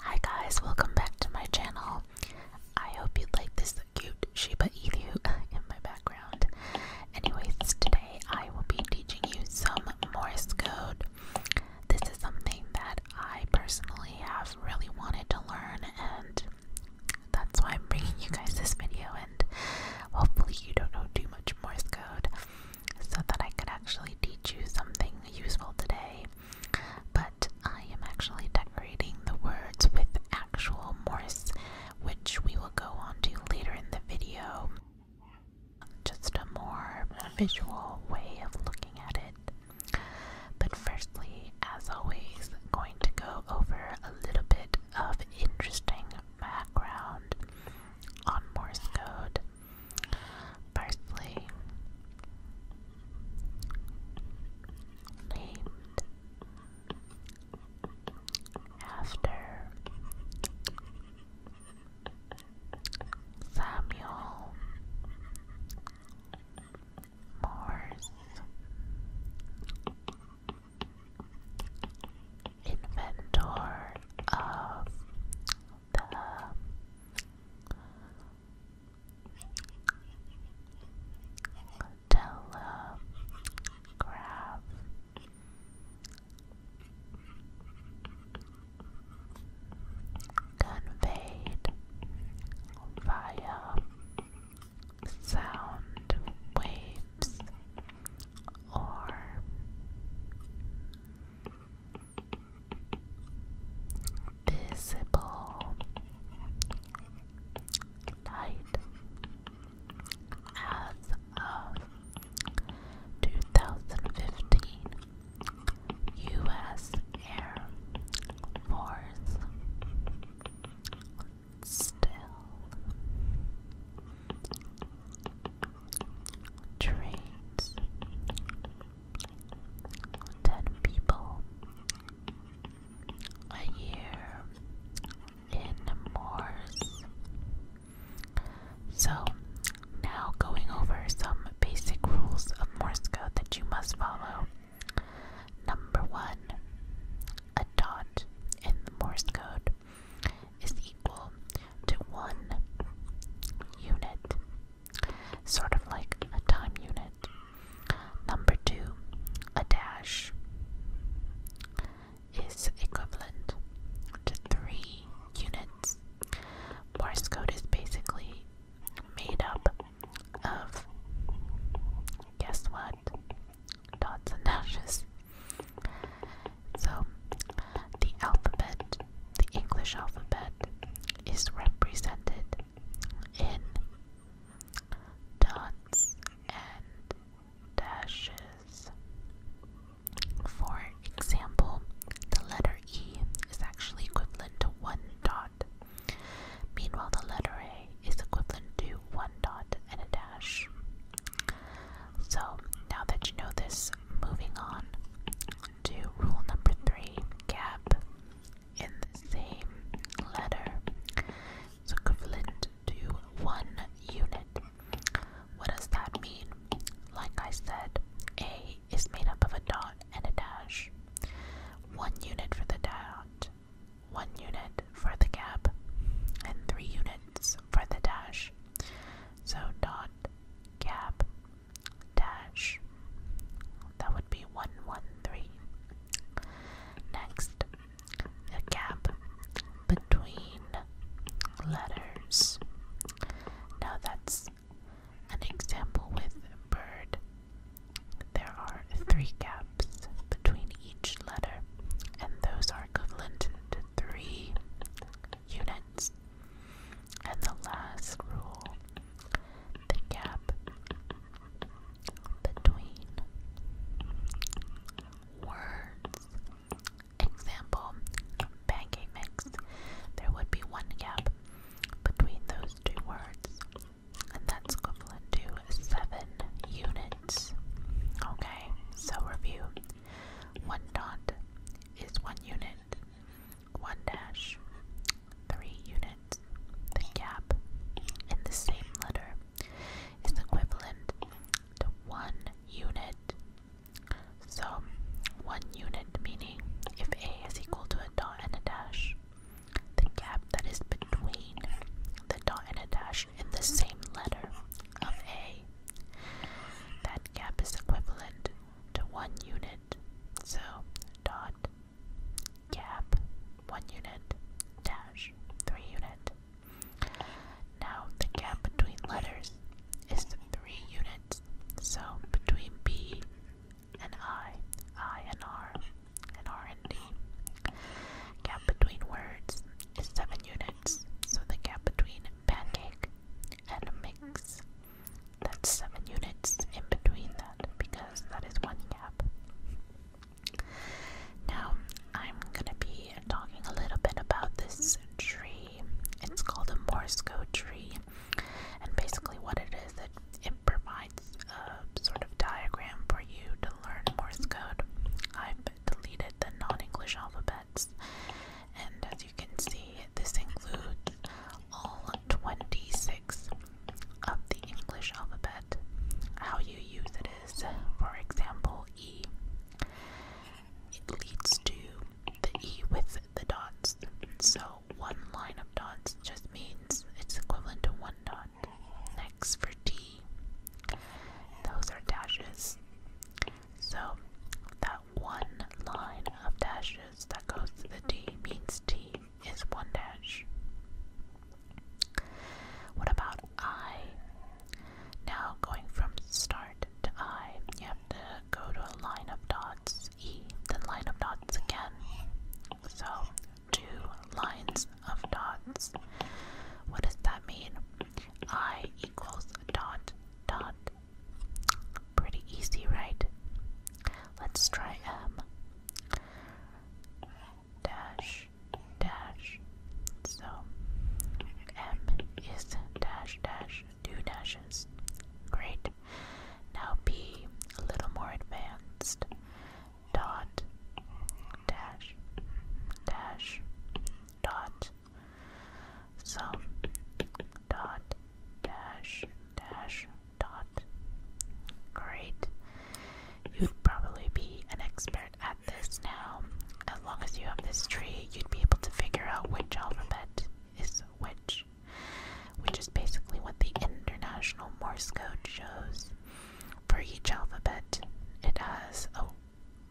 Hi guys, welcome back to my channel. I hope you like this cute Shiba Inu in my background. Anyways, today I will be teaching you some Morse code. This is something that I personally have really wanted to learn and that's why I'm bringing you guys this video and hopefully you don't know too much Morse code so that I could actually teach you something useful today. But I am actually decorating the words with actual Morse, which we will go on to later in the video. Just a more visual way of looking at it. But firstly, as always, I'm going to go over a little bit of interesting background on Morse code Firstly, named after Samuel Morse inventor of the telegraph conveyed via sound waves or visible light as of 2015 U.S. Air Force still trains, ten people a year in Moors. So, now going over some basic rules of Morse code that you must follow. Number one, a dot in the Morse code is equal to one unit, sort of like a time unit. Number two, a dash is equivalent to three units. Morse code is basically made up of guess what? Dots and dashes. So, the alphabet, the English alphabet, is represented in dots and dashes. For example, the letter E is actually equivalent to one dot. Meanwhile, the letter A is equivalent to one dot and a dash. So, now that you know this, moving on to rule number three gap in the same letter. So, to one unit. What does that mean? Like I said, A is made up of a dot and a dash. One unit for the dot, one unit for the gap, and three units for the dash. So dot cap dash that would be 113. Next, the gap between letters. Now that's an example with bird. There are three gaps between each letter, and those are equivalent to three units. And the last rule the gap between words. Example pancake mix. There would be one gap between those two words, and that's equivalent to seven units. Okay, so review one dot is one unit. One dash, three units. The gap in the same letter is equivalent to one unit. So, one unit meaning if A is equal to a dot and a dash, the gap that is between the dot and a dash in the same letter of A that gap is equivalent to one unit, so dot gap one unit dash three unit. Now the gap between letters is three units, so between B and I, I and R, and R and D between words is 7 units, so the gap between pancake and mix, that's 7 units in between that because that is one gap. Now, I'm gonna be talking a little bit about this tree. It's called a Morse code tree, and basically, what it is, it, it provides a sort of diagram for you to learn Morse code. I've deleted the non-English alphabets. And as you can see, this includes all 26 of the English alphabet. How you use it is, for example, E. It leads to the E with the dots. So one line of dots just means it's equivalent to one dot. Next for T, those are dashes. So that one line of dashes that goes to the D means T is one dash. What about I? Now going from start to I, you have to go to a line of dots, E, then line of dots again. So two lines of dots. What does that mean? I equals dot dot. Pretty easy, right? Let's try M. Dash dash. So M is dash dash two dashes. Great. Now P a little more advanced dot dash dash dot sum dot dash dash dot great you'd probably be an expert at this now as long as you have this tree you'd be able to figure out which alphabet is which which is basically what the international morse code shows for each alphabet, it has a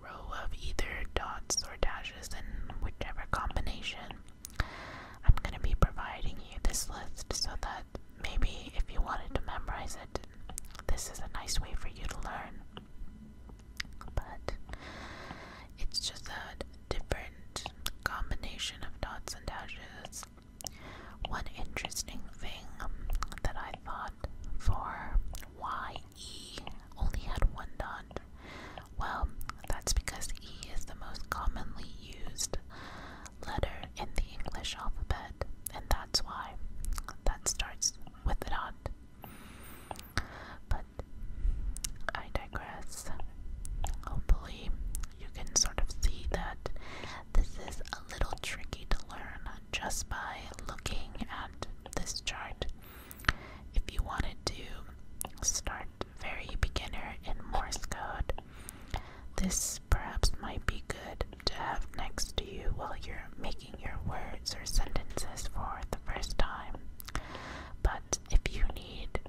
row of either dots or dashes in whichever combination. I'm going to be providing you this list so that maybe if you wanted to memorize it, this is a nice way for you to learn. But it's just a different combination of dots and dashes one interesting thing that I thought for why E only had one dot, well, that's because E is the most commonly used letter in the English alphabet, and that's why that starts with a dot. But I digress. Hopefully, you can sort of see that this is a little tricky to learn just by looking at this chart. If you wanted to start very beginner in Morse code, this perhaps might be good to have next to you while you're making your words or sentences for the first time. But if you need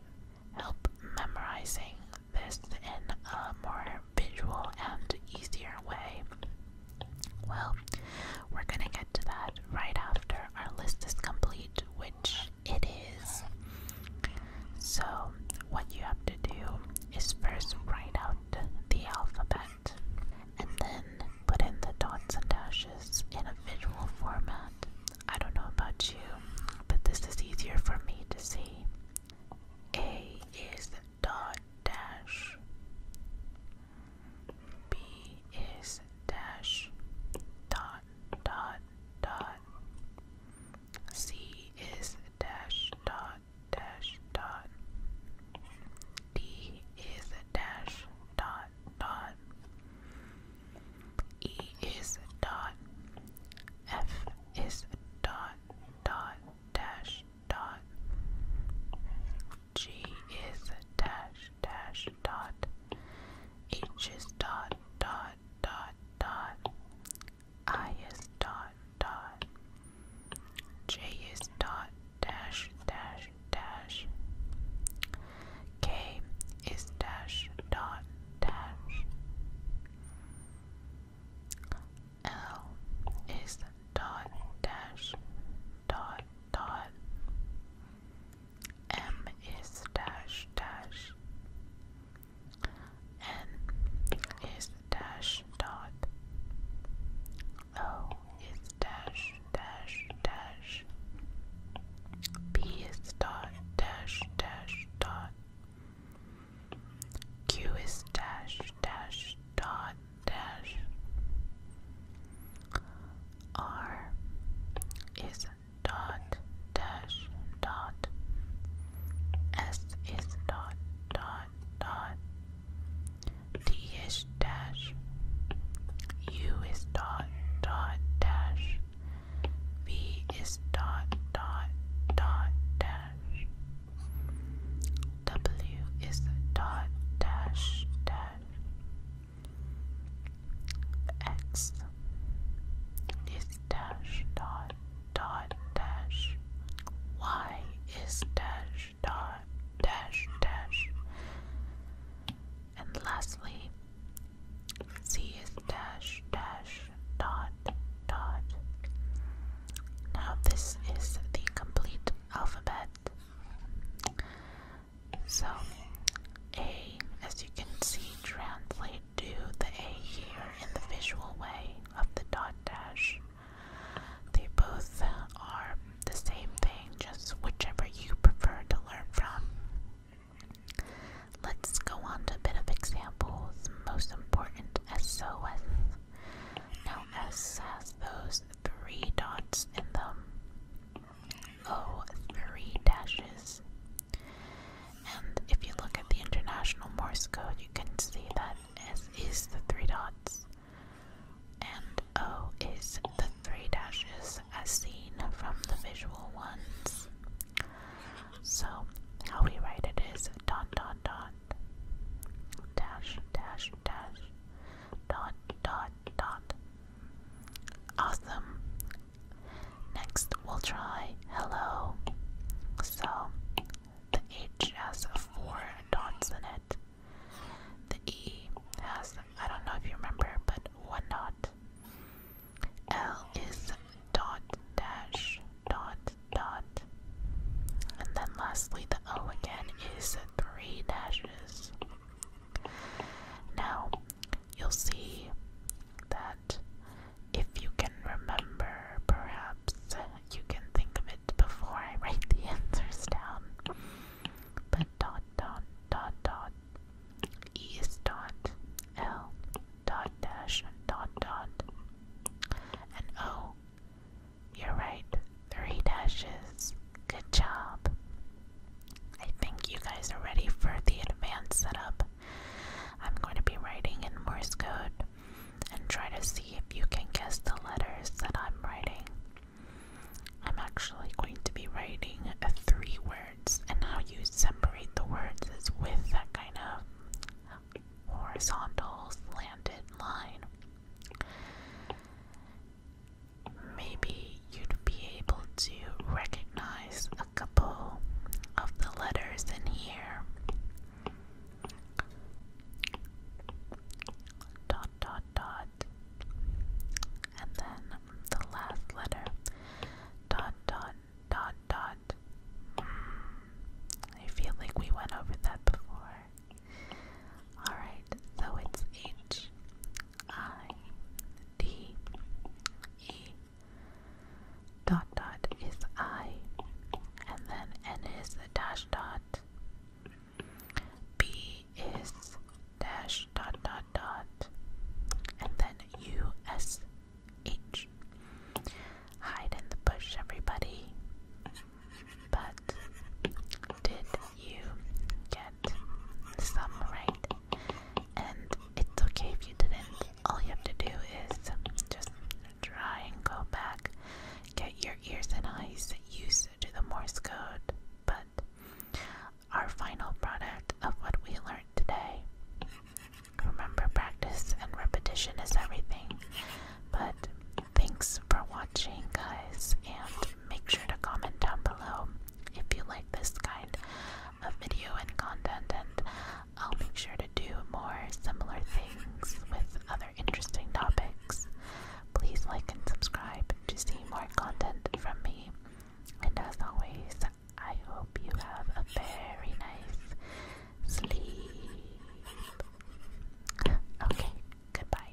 help memorizing this in a more visual and easier way? Well, we're gonna get to that right after our list is complete, which it is. So, what you have to do is first write out the alphabet and then put in the dots and dashes in a visual format. I don't know about you, but this is easier for me to see. A is dot dash. B is dash dot dot dot. C is dash dot dash dot. D is dash dot dot. E is dot. F is dot dot dash dot G is dash dash dot H is dot dot dot dot I is dot dot J is dot dash dash dash K is dash dot dash L is dot dash dot dot. M is dash dash. N is dash dot. O is dash dash dash. B is dot dash dash dot. Q is dash dash dot dash. R is dot dash dot. S is dot dot dot. D is dash. U is dot dot dash. B is dot dot dot dash. W is dot dash dash. X is dash dot dot dash. Y is dash dot dash dash. And lastly, Z dash dash dot dot. Now this is the complete alphabet. So A, as you can see, translate to the A here in the visual way of the dot dash. They both are the same thing, just whichever you prefer to learn from. Let's go on to a bit of examples. Most important SOS. Now, S has those three dots in them. O, three dashes. And if you look at the International Morse Code, you can see that S is the three dots, and O is the three dashes as seen from the visual ones. So how we write it is dot dot dot dash dash dash dot dot dot. Awesome. Next we'll try hello. So the H has four dots in it. The E has I don't know if you remember, but one dot. L is dot dash dot dot. And then lastly, the O again is three dashes. Now, you'll see that if you can remember, perhaps you can think of it before I write the answers down. But dot dot dot dot E dot L dot dash dot dot and oh you're right three dashes good job I think you guys are ready for the advanced setup I'm going to be writing in Morse code and try to see if you can guess the letters that I'm writing I'm actually going to be writing a three word and how you separate the words is with that kind of horizontal slanted line. Maybe you'd be able to recognize a couple of the letters in here. Dot dot dot. And then the last letter. Dot dot dot dot. Mm, I feel like we went over that before. Alright, so it's H I D E. Dot dot is I, and then N is a dash dot. B is dash dot dot dot and then USH. Hide in the bush, everybody. But did you get some right? And it's okay if you didn't. All you have to do is just try and go back, get your ears and eyes used to the Morse code. But our final product of what we learned today. Remember, practice and repetition is everything. But thanks for watching, guys, and make sure to comment down below if you like this kind of video and content, and I'll make sure to do more similar things with other interesting topics. Please like and subscribe to see more content from me. And as always, I hope you have a very nice sleep. Okay, goodbye.